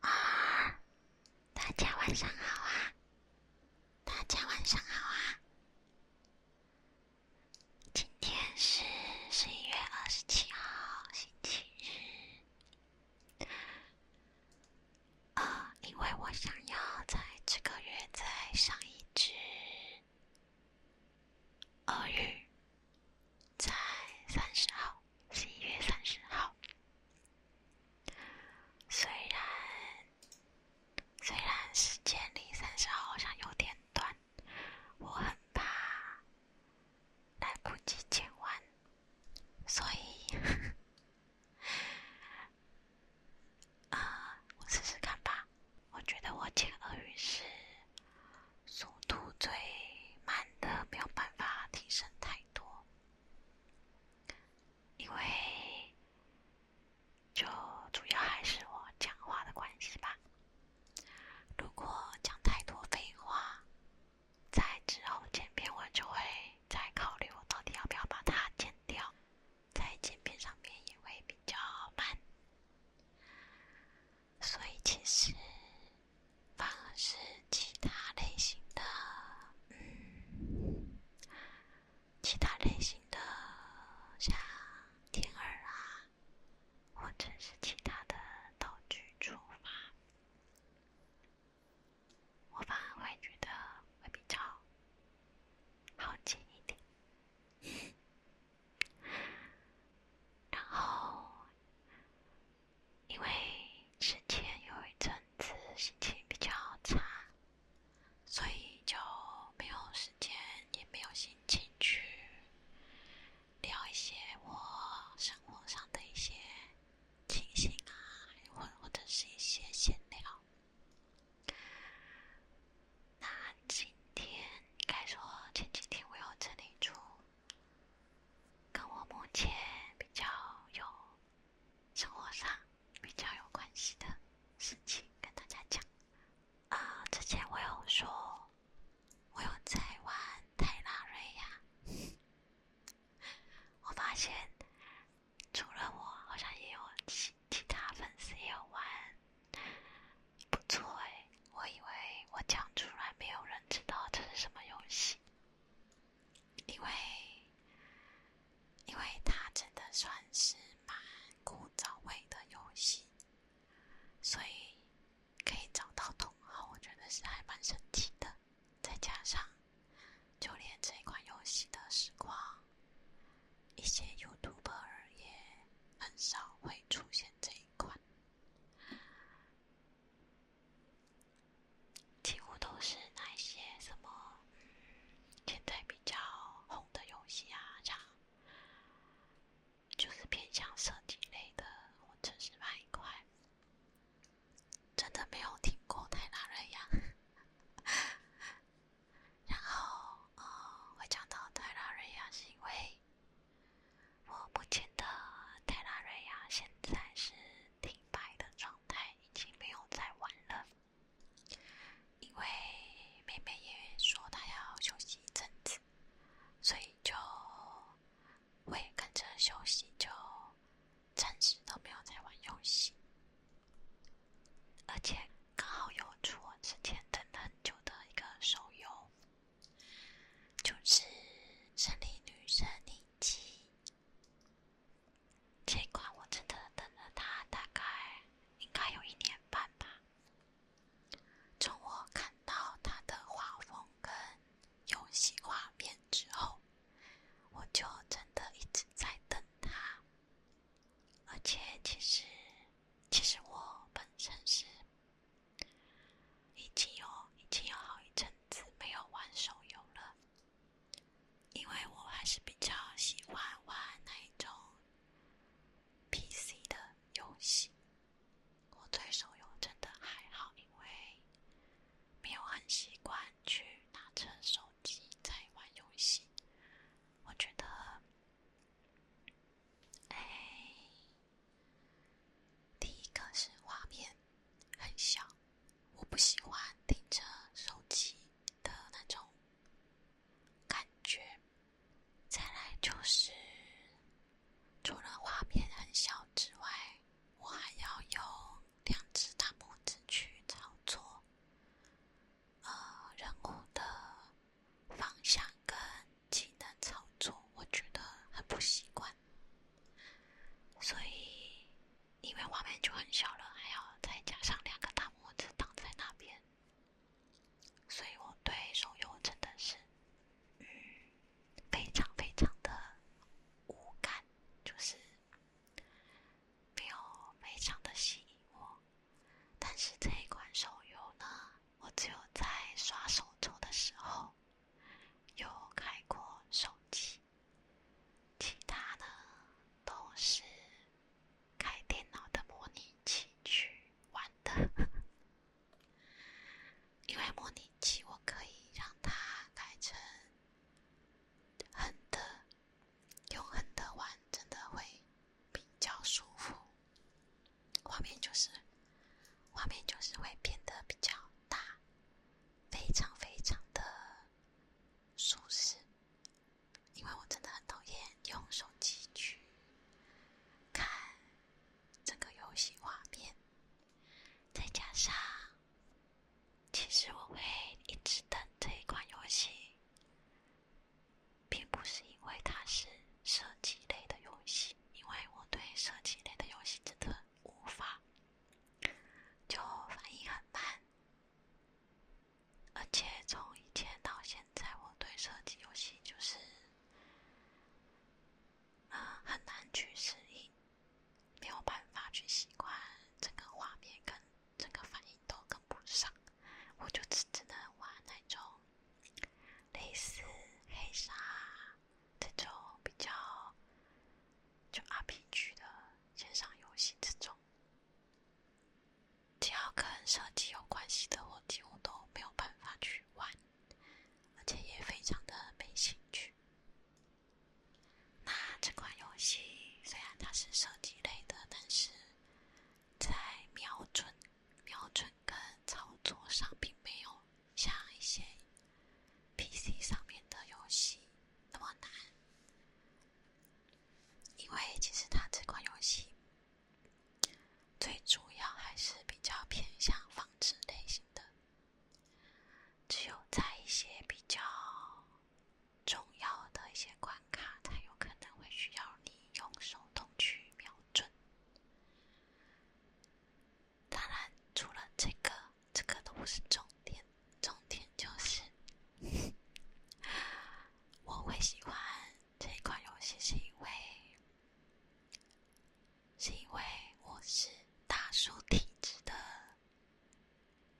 啊，大家晚上好啊！大家晚上好啊！今天是十一月二十七号，星期日。呃，因为我想要在这个月再上一只鳄鱼。在三十号，十一月三十号。虽然，虽然时间离三十号好像有点短，我很怕来不及剪完，所以，啊，我试试看吧。我觉得我剪了于是。速度最慢的，没有办法提升太多，因为就主要还是我讲话的关系吧。如果讲太多废话，在之后剪片，我就会再考虑我到底要不要把它剪掉，在剪片上面也会比较慢。所以其实，反而是其他类型的，嗯，其他类型的，像天儿啊，或者是其他的道具触发，我反而会觉得会比较好记一点。然后。因为之前有一阵子心情比较差，所以就没有时间，也没有心情去聊一些我生活上的一些情形啊，或或者是一些闲聊。那今天该说前几天我又整理出。跟我目前比较有生活上比较有关系的事情跟大家讲。啊，之前我有说，我有在玩泰拉瑞亚，我发现除了我，好像也有其其他粉丝也有玩，不错哎。我以为我讲出来没有人知道这是什么游戏，因为因为它真的算是蛮古早味的游戏，所以可以找到同好，我觉得是还蛮神奇的。再加上，就连这款游戏的时光，一些 YouTuber 也很少会出现这一款。几乎都是那些什么现在比较红的游戏啊，像就是偏向射击类的或者是哪一块，真的没有听过《泰拉瑞亚》。然后，呃，会讲到《泰拉瑞亚》是因为。我目前的《泰拉瑞亚》现在是停摆的状态，已经没有在玩了。因为妹妹也说她要休息一阵子，所以就会跟着休息，就暂时都没有在玩游戏。而且刚好有出我之前等了很久的一个手游。就是《胜利女神：妮姬》这款，我真的等了它大概应该有一年半吧。从我看到它的画风跟游戏画面之后，我就真的一直在等它。而且，其实，其实我本身是。已经有已经有好一阵子没有玩手游了，因为我还是比较喜欢玩那一种 PC 的游戏。我对手游真的还好，因为没有很习惯去拿着手机在玩游戏。我觉得，哎。第一个是画面很小，我不喜欢盯着手机的那种感觉。再来就是，除了画面很小之外，我还要用两只大拇指去操作，呃，人物的方向跟。技能操作我觉得很不习惯，所以因为画面就很小了，还要再加上两个大拇指挡在那边，所以我对手游真的是嗯非常非常的无感，就是没有非常的吸引我。但是这一款手游呢，我只有在刷手抽的时候。有开过手机，其他呢都是开电脑的模拟器去玩的，因为模拟器我可以让它改成横的，用横的玩真的会比较舒服。画面就是，画面就是会变得比较大，非常非常的舒适。因为我真的很讨厌用手机去看整个游戏画面。再加上，其实我会一直等这一款游戏，并不是因为它是射击类的游戏。因为我对射击类的游戏真的无法，就反应很慢，而且从以前到现在，我对射击游戏就是，很难去适应，没有办法去习惯，整个画面跟整个反应都跟不上，我就只只能玩那种类似黑鲨。这种比较就 RPG 的线上游戏，这种只要跟射击有关系的，我几乎都没有办法去玩，而且也非常的没兴趣。那这款游戏虽然它是射击类的，但是在瞄准。瞄准跟操作上并没有像一些 PC 上面的游戏那么难，因为其实它这款游戏最主要还是比较偏向放置类型的，只有在一些比较重要的一些关卡，才有可能会需要你用手动去瞄准。当然，除了这个，这个都不是重点。重点就是，我会喜欢这款游戏，是因为，是因为我是大叔体质的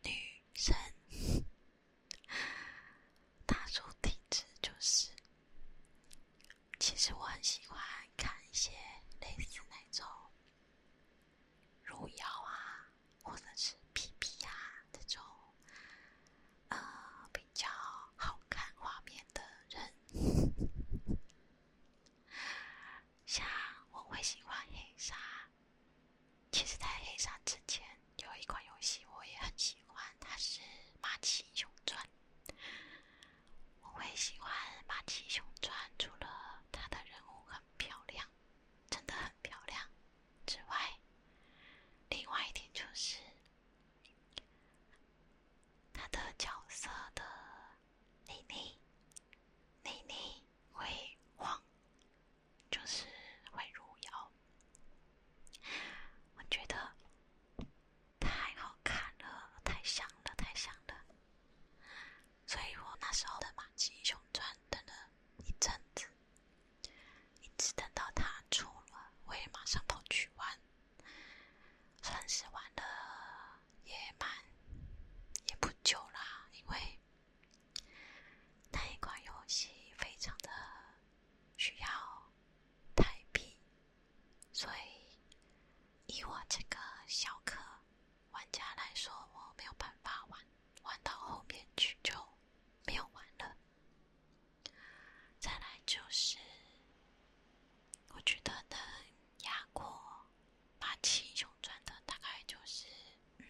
女生。大叔体质就是。其实我很喜欢看一些类似那种如妖啊，或者是皮皮呀这种，呃，比较好看画面的人。像我会喜欢黑沙。其实，在黑沙之前有一款游戏我也很喜欢，它是《马奇英雄传》。我会喜欢《马奇熊，传》，除了他的人物很漂亮，真的很漂亮之外，另外一点就是他的角色的内内内内会晃，就是会入妖。我觉得。太好看了，太香了，太香了！所以我那时候的《马季英雄传》等了一阵子，一直等到它出了，我也马上跑去玩。算是玩了也蛮也不久啦，因为那一款游戏非常的需要台币。所以，以我这个小氪玩家来说，我没有办法玩玩到后面去，就没有玩了。再来就是，我觉得能压过《霸气雄传》的，大概就是，嗯，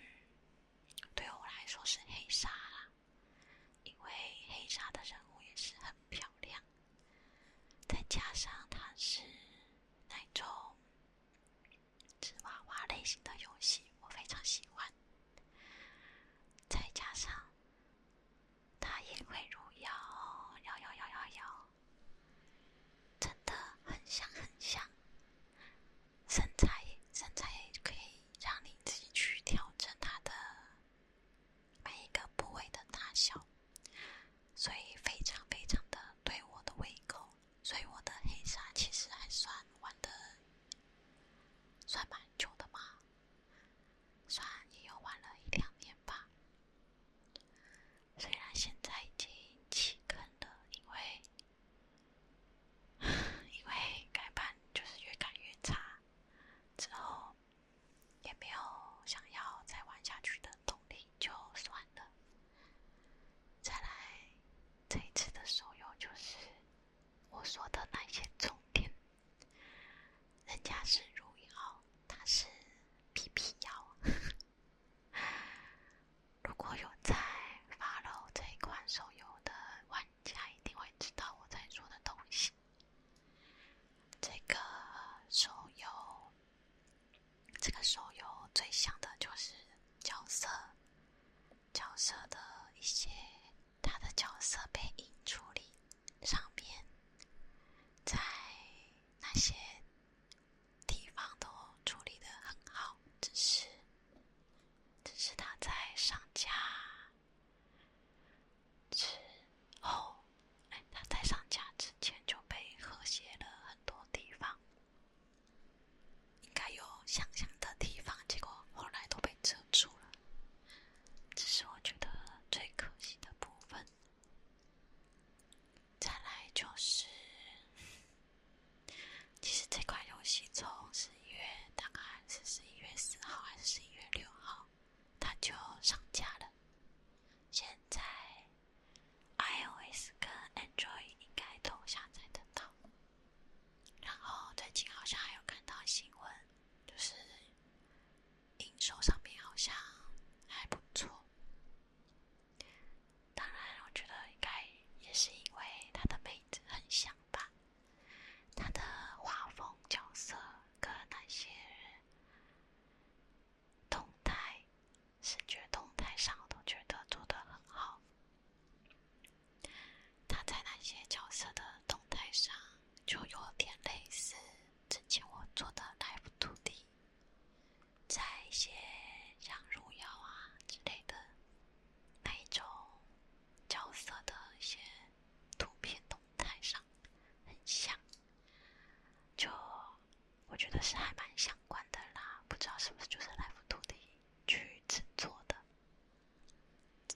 对我来说是黑鲨啦，因为黑鲨的人物也是很漂亮。再加上它是那种纸娃娃类型的游戏，我非常喜欢。再加上它也会入药，药药药药药，真的很像，很像。身材，身材可以让你自己去调整它的。每一个部位的大小，所以非常非常的对我的胃口，所以我的黑沙其实还算玩的，算蛮久的嘛，算也有玩了一两年吧。虽然现在已经起坑了，因为 因为改版就是越改越差，之后。也没有想要再玩下去的动力，就算了。再来，这一次的手游就是我说的那些重点。人家是荣耀，他是 B P 幺。如果有在发了这一款手游的玩家，一定会知道我在说的东西。这个手游，这个手游最像的就是角色，角色的一些他的角色配音处理，上面在那些地方都处理的很好，只是只是他在上架。之后，他在上架之前就被和谐了很多地方，应该有想象的地方，结果后来都被遮住了。这是我觉得最可惜的部分。再来就是，其实这款游戏从十一月，大概是十一月四号还是十一月六号。它就上架了，现在 iOS 跟 Android 应该都下载得到。然后最近好像还有看到新闻，就是营收上面好像还不错。当然，我觉得应该也是因为他的妹子很像吧，他的画风、角色跟那些。动态，视觉动态上都觉得做的很好。他在那些角色的动态上就有点类似之前我做的 Live 图的，在一些像荣耀啊之类的那种角色的一些图片动态上。很像，就我觉得是还蛮相关的啦。不知道是不是就是那幅图的去制作的。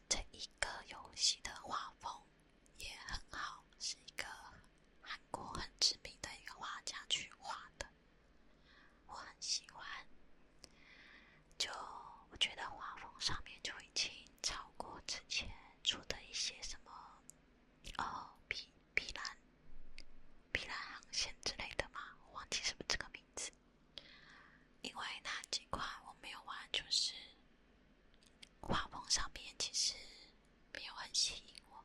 这一个游戏的画风也很好，是一个韩国很知名的一个画家去画的，我很喜欢。就我觉得画风上面就已经超过之前出的一些什么。哦，碧碧蓝，碧蓝航线之类的吗？我忘记是不是这个名字。因为那几款我没有玩，就是画风上面其实没有很吸引我，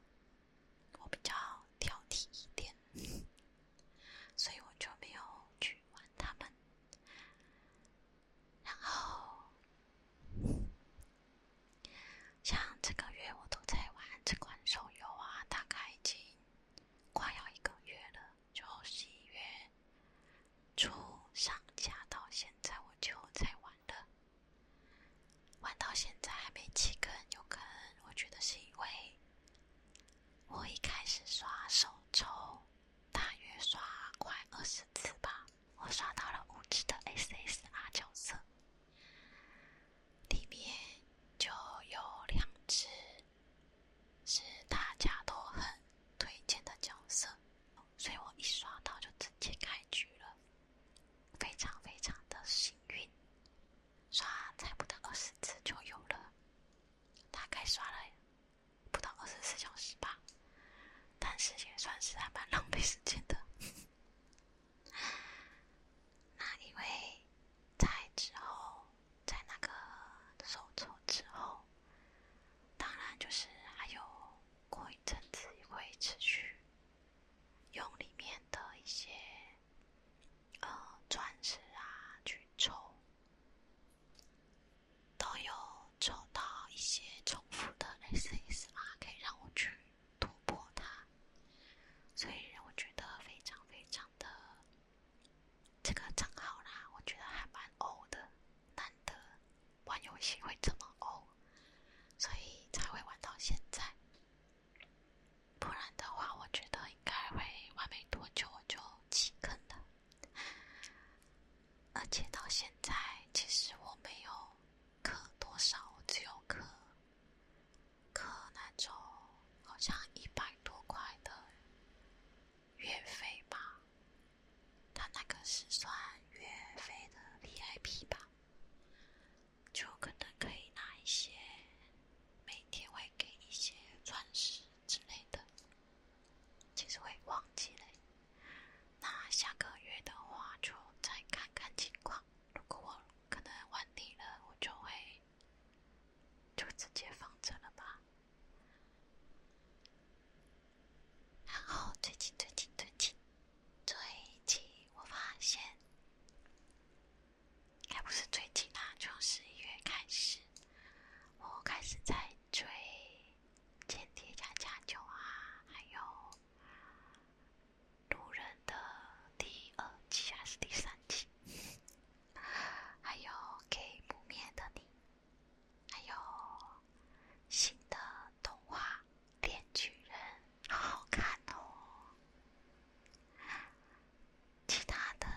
我比较挑剔一点，所以我就没有去玩他们。然后。像这个月我都在玩这款手游啊，大概已经快要一个月了，就十一月初上架到现在我就在玩了，玩到现在还没几个人有坑，我觉得是因为我一开始刷手抽大约刷快二十次吧。我刷到了五只的 SSR 角色，里面就有两只是大家都很推荐的角色，所以我一刷到就直接开局了，非常非常的幸运，刷才不到二十次就有了，大概刷了不到二十四小时吧。但是也算是还蛮浪费时间的。那因为在之后，在那个手抽之后，当然就是还有过一阵子也会持续用里面的一些呃钻石啊去抽。都有找到一些重复的类似意思嘛？可以让我去突破它，所以我觉得非常非常的这个账号啦，我觉得还蛮欧的，难得玩游戏会这么欧，所以才会玩到现在。不然的话，我觉得应该会玩没多久我就弃坑了。而且到现在，其实我没有刻多少，我只有刻刻那种好像一百多块的月费吧，他那个是算月费的 VIP 吧，就可能可以拿一些，每天会给一些钻石之类的，其实会忘记嘞。那下个月的话，就再看看情况。如果我可能晚腻了，我就会就直接放着了吧。然后最近最近最近最近，我发现，该不是最近啊？从十一月开始，我开始在追。间谍加加九啊，还有《鲁人的第二季》还是第三季，还有《给不灭的你》，还有新的动画《电锯人》，好好看哦。其他的，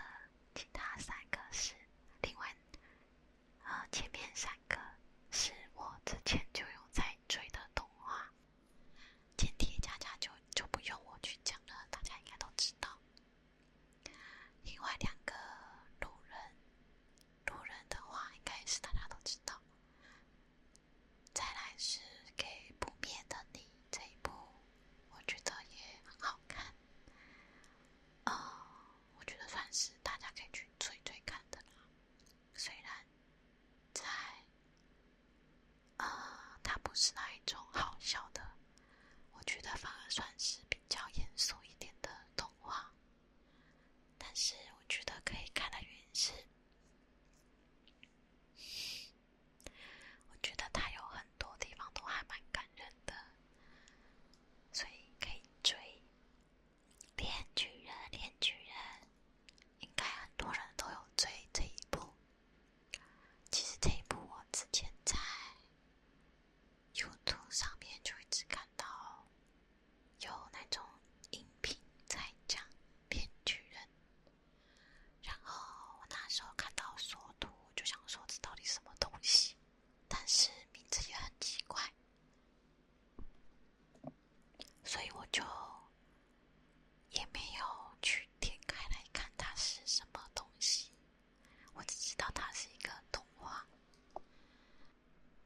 其他三个是另外。啊，前面三个是我之前就有在追的动画，《间谍家家》就就不用我去讲了，大家应该都知道。另外两个《路人》，《路人》的话应该是大家都知道。再来是给不灭的你这一部，我觉得也很好看。啊，我觉得算是大家可以去追追看的啦。虽然在，呃，他不是那一种好笑的，我觉得反而算是比较严肃一点的动画。但是我觉得可以看的原因是，我觉得他有很多地方都还蛮感人的，所以可以追。《猎巨人》《猎巨人》应该很多人都有追这一部。其实这一部我之前在 YouTube 上面就一直看到有那种音频在讲《猎巨人》，然后我那时候看到缩图，就想说这到底什么东西？但是名字也很奇怪。所以我就也没有去点开来看它是什么东西，我只知道它是一个动画。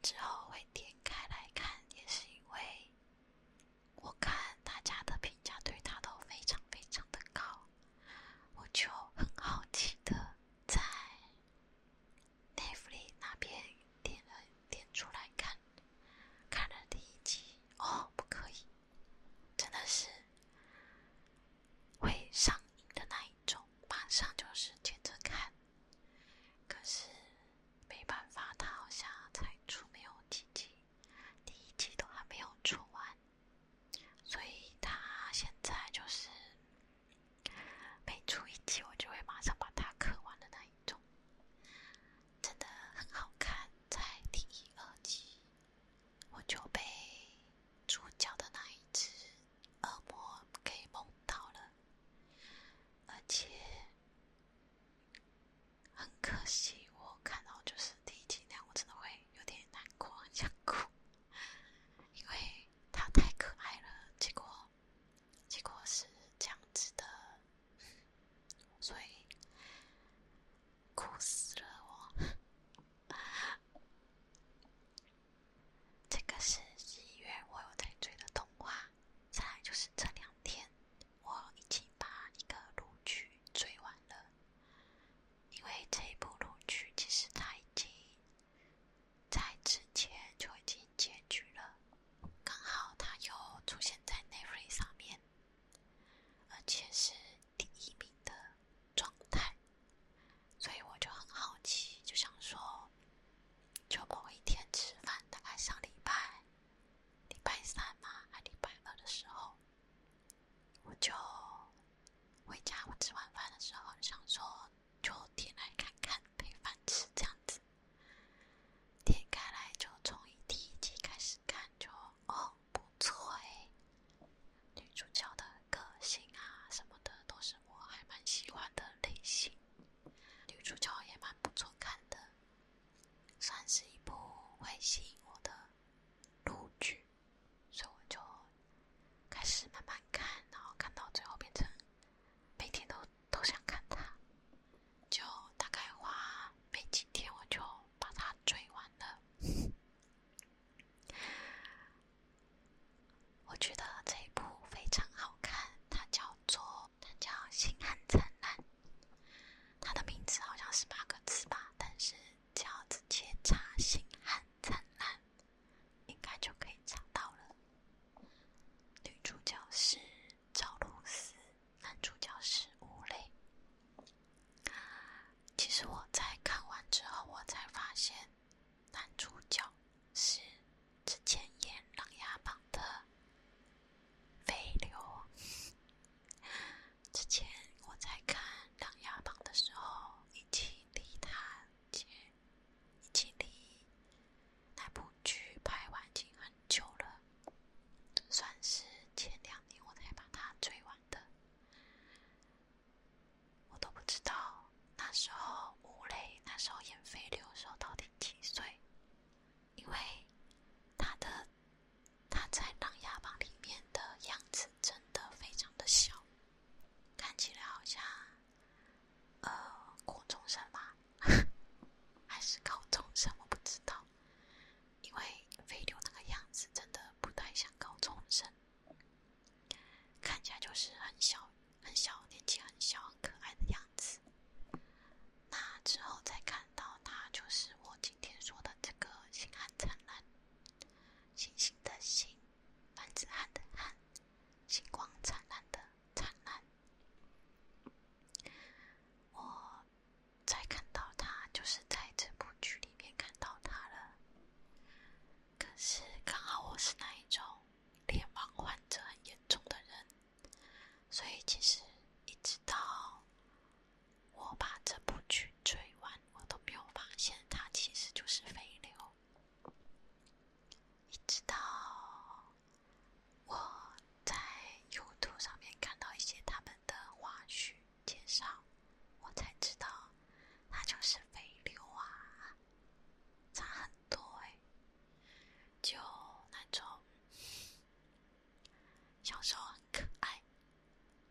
之后会点开来看，也是因为我看大家的评价对它都非常非常的高，我就很好奇的在。戴弗利那边点了点出来看，看了第一集哦，不可以，真的是会上瘾的那一种，马上就是接着看。可是没办法，他好像才出没有几集，第一集都还没有出完，所以他现在就是。每出一集，我就会马上把它看完的那一种，真的很好看。在第一、二集，我就被主角的那一只恶魔给萌到了，而且很可惜，我看到就是第一集那样，我真的会有点难过，很想哭，因为它太可爱了。结果。结果是这样子的，所以哭死了我。这个是十一月我有在追的动画，再来就是这两天我已经把一个录取追完了，因为这一部录取其实它已经。在之前就已经结局了，刚好他又出现在那飞上面，而且是第一名的状态，所以我就很好奇，就想说，就某一天吃饭，大概上礼拜，礼拜三嘛，还礼拜二的时候，我就回家，我吃完饭的时候想说。就点来看看，平凡次这样子。点开来就从第一集开始看，就哦不错诶，女主角的个性啊什么的都是我还蛮喜欢的类型，女主角也蛮不错看的，算是一部会吸引我的路剧，所以我就开始慢慢看，然后看到最后变成。每天都都想看它，就大概花没几天我就把它追完了。我觉得这一部非常好看，它叫做它叫《星汉灿烂》，它的名字好像是八个字吧，但是叫《紫切茶星汉灿烂》。应该就可以查到了。女主角是赵露思，男主角是吴磊。其实我在看完之后，我才发现男主角是之前演《琅琊榜》的飞流。之前我在看《琅琊榜》的时候，一起低碳。姐。已经离那部剧拍完已经很久了，算是前两年我才把它追完的。我都不知道那时候吴磊那时候演飞流的时候到底几岁，因为他的他在《琅琊榜》里面的样子真的非常的小，看起来好像。呃，高中生吧？还是高中生？我不知道，因为飞流那个样子真的不太像高中生，看起来就是很小、很小，年纪很小、很可爱的样子。那之后再看到他，就是我今天说的这个“星汉灿烂”，星星的星，男子汉的汉，星光灿烂的。灿烂，我在看到他，就是在这部剧里面看到他了。可是刚好我是那一种脸盲患者很严重的人，所以其实一直到我把这部剧追完，我都没有发现他其实就是飞流。一直到我在优兔上面看到一些他们的花絮介绍，我才知道那就是飞流啊，差很多哎，就那种小时候很可爱，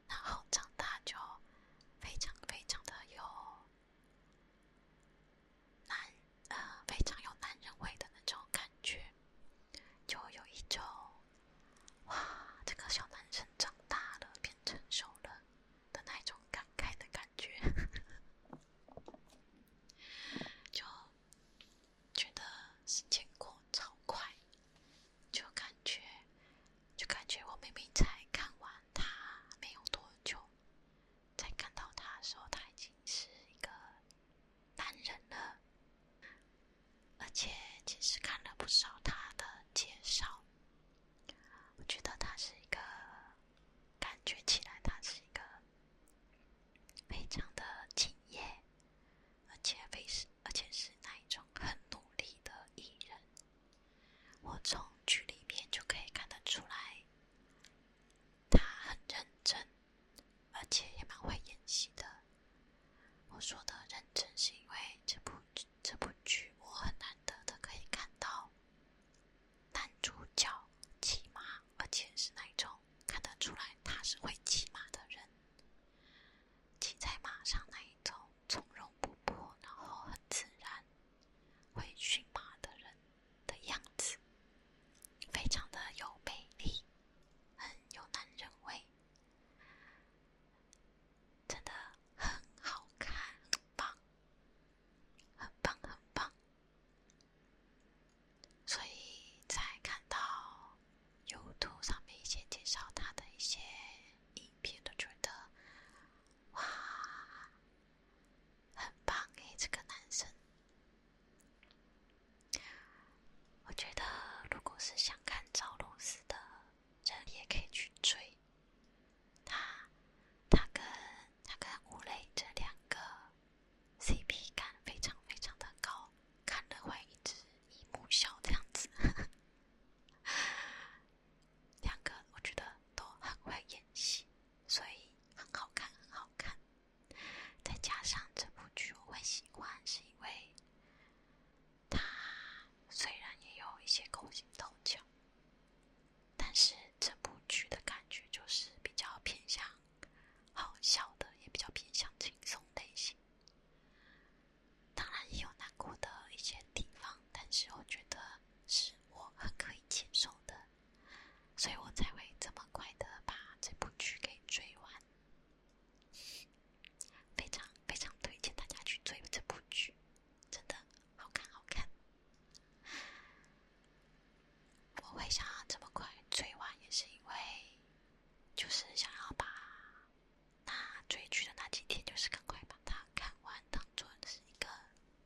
然后长大就非常非常的有。男，呃，非常有男人味的那种感觉，就有一种，哇，这个小男生长大了，变成熟了的那种感慨的感觉，就觉得时间过超快，就感觉，就感觉我明明才看完他没有多久。在看到他的时候，他已经是一个男人了，而且其实看了不少他的介绍，我觉得他是一个，感觉起来他是一个非常的敬业，而且非是而且是那一种很努力的艺人。我从剧里面就可以看得出来，他很认真，而且也蛮会演戏的。我说的认真，是因为这部这部剧我很难得的可以看到男主角骑马，而且是那种看得出来他是会骑马的人，骑在马上那一种从容不迫，然后很自然会驯马的人。的样子，非常的有魅力，很有男人味，真的很好看，很棒，很棒，很棒，所以在看到有图上面一些介绍他的一些影片都觉得，哇！很棒哎，这个男生，我觉得如果是想看赵露思的，这里也可以去追。他，他跟他跟吴磊这两个 CP 感非常非常的高，看了会一直一目笑这样子。两个我觉得都很会演戏，所以很好看，很好看。再加上这部剧我很喜欢，是因为它虽然也有一些勾心斗角，但是这部剧的感觉就是比较偏向好笑的，也比较偏向轻松类型。当然也有难过的一些地方，但是我觉得是我很可以接受的。所以我才会这么快的把这部剧给追完，非常非常推荐大家去追这部剧，真的好看好看。我会想要这么快追完，也是因为，就是想要把那追剧的那几天，就是赶快把它看完，当做是一个。